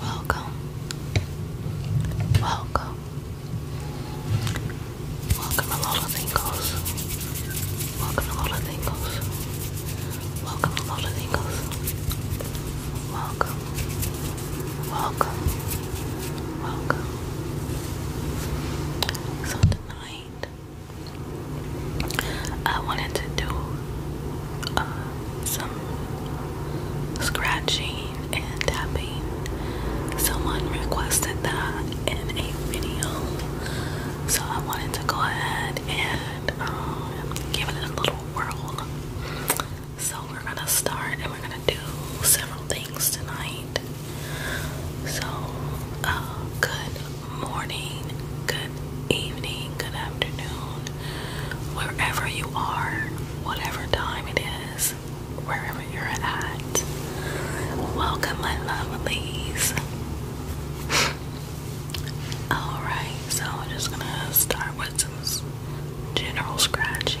Welcome. Welcome. Welcome to Lola Welcome to Lola Welcome to Lola Welcome. Welcome. Welcome. So tonight I wanted to do uh, some scratching and tapping. Someone requested that in a video, so I wanted to go ahead and um, give it a little whirl. So we're gonna start and we're gonna do several things tonight. So, uh, good morning, good evening, good afternoon, wherever you are, whatever time it is, wherever you're at. Welcome, my lovelies. Alright, so I'm just gonna start with some general scratching.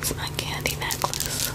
It's my candy necklace.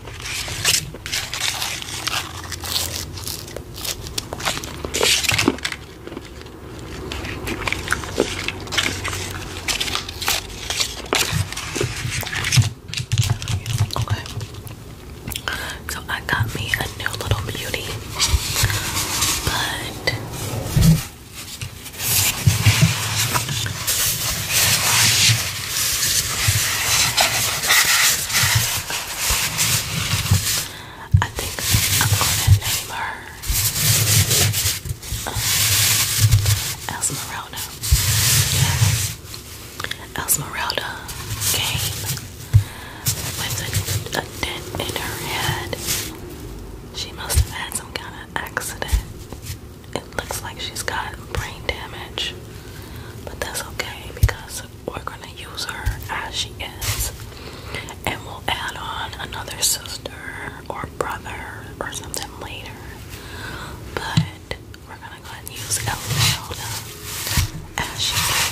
So I got me a new little beauty, I think I'm gonna name her uh, Esmeralda. Yeah. with a dent in her head. She must have had some kind of accident it looks like she's got brain damage, but that's okay because we're gonna use her as she is, and we'll add on another sister or brother or something later. But we're gonna go ahead and use Elmelda as she is.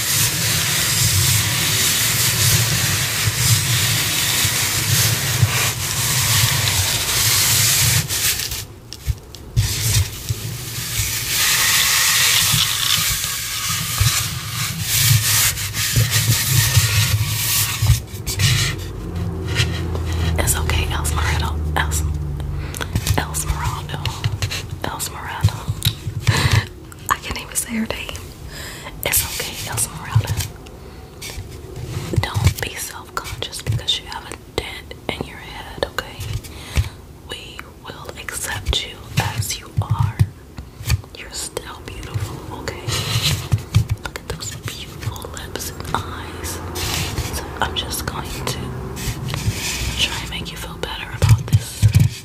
It's okay, Elsmerado. Elsmerado. Elsmerado. I can't even say her name. It's okay, Esmeralda. Don't be self-conscious because you have a dent in your head, okay? We will accept you as you are. You're still beautiful, okay? Look at those beautiful lips and eyes. I'm just going to try and make you feel better about this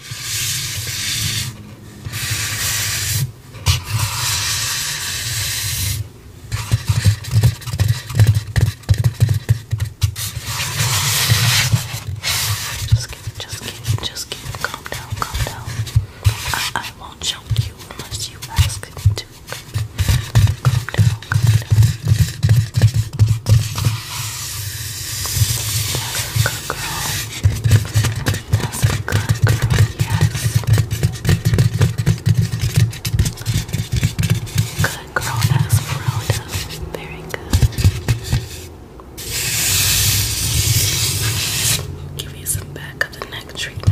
Just kidding, just kidding, just kidding. Calm down, calm down. I, I won't choke you unless you ask me to. Calm down, calm down. That's a good girl. That's a good girl, yes. Good girl, that's Rhoda. Very good. Give you some back of the neck treatment.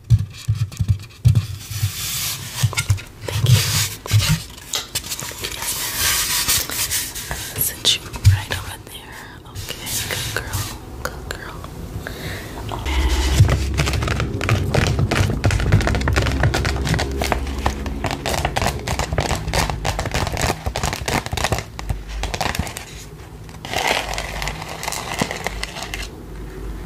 Thank you. Yes, you right over there. Okay, good girl. Good girl.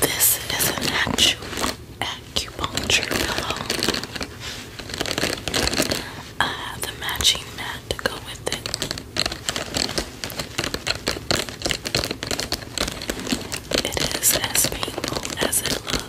This is an actual acupuncture pillow. I uh, have the matching mat to go with it. It is as painful as it looks.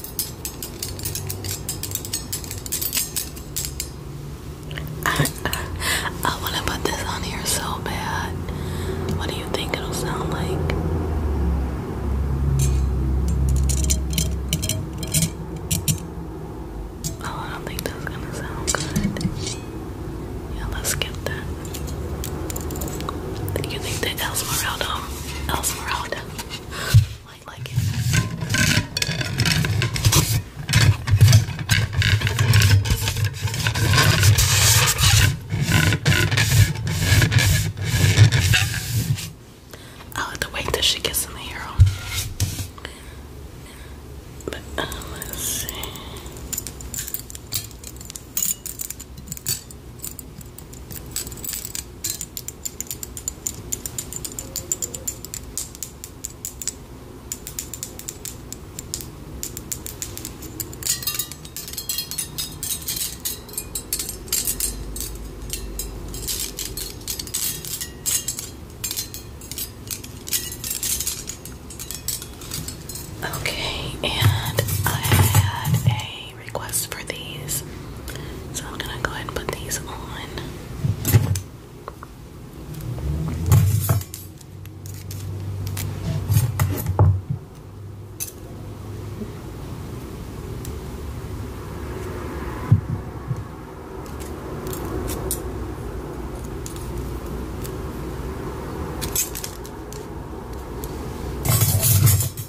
I want to put this on here so bad. What do you think it'll sound like? Oh, I don't think that's gonna sound good. Yeah, let's skip that. You think that Elsmeraldo um, Esmeralda. I like it. I'll have oh, to wait till she gets some hair on. But um, let's see. Okay, and I had a requests for these. So I'm gonna go ahead and put these on.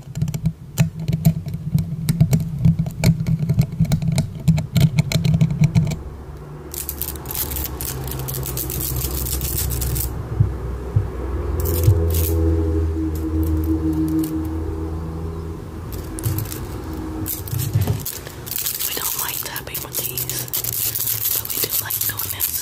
We don't like tapping with these, but we do like doing this.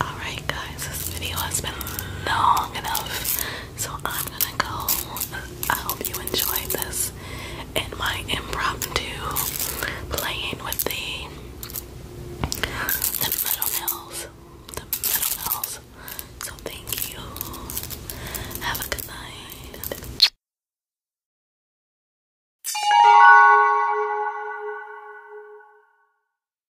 Alright, guys, this video has been long enough, so I'm gonna go. I hope you enjoyed this and my impromptu playing with the, the metal nails. The metal nails. So, thank you. Have a good night.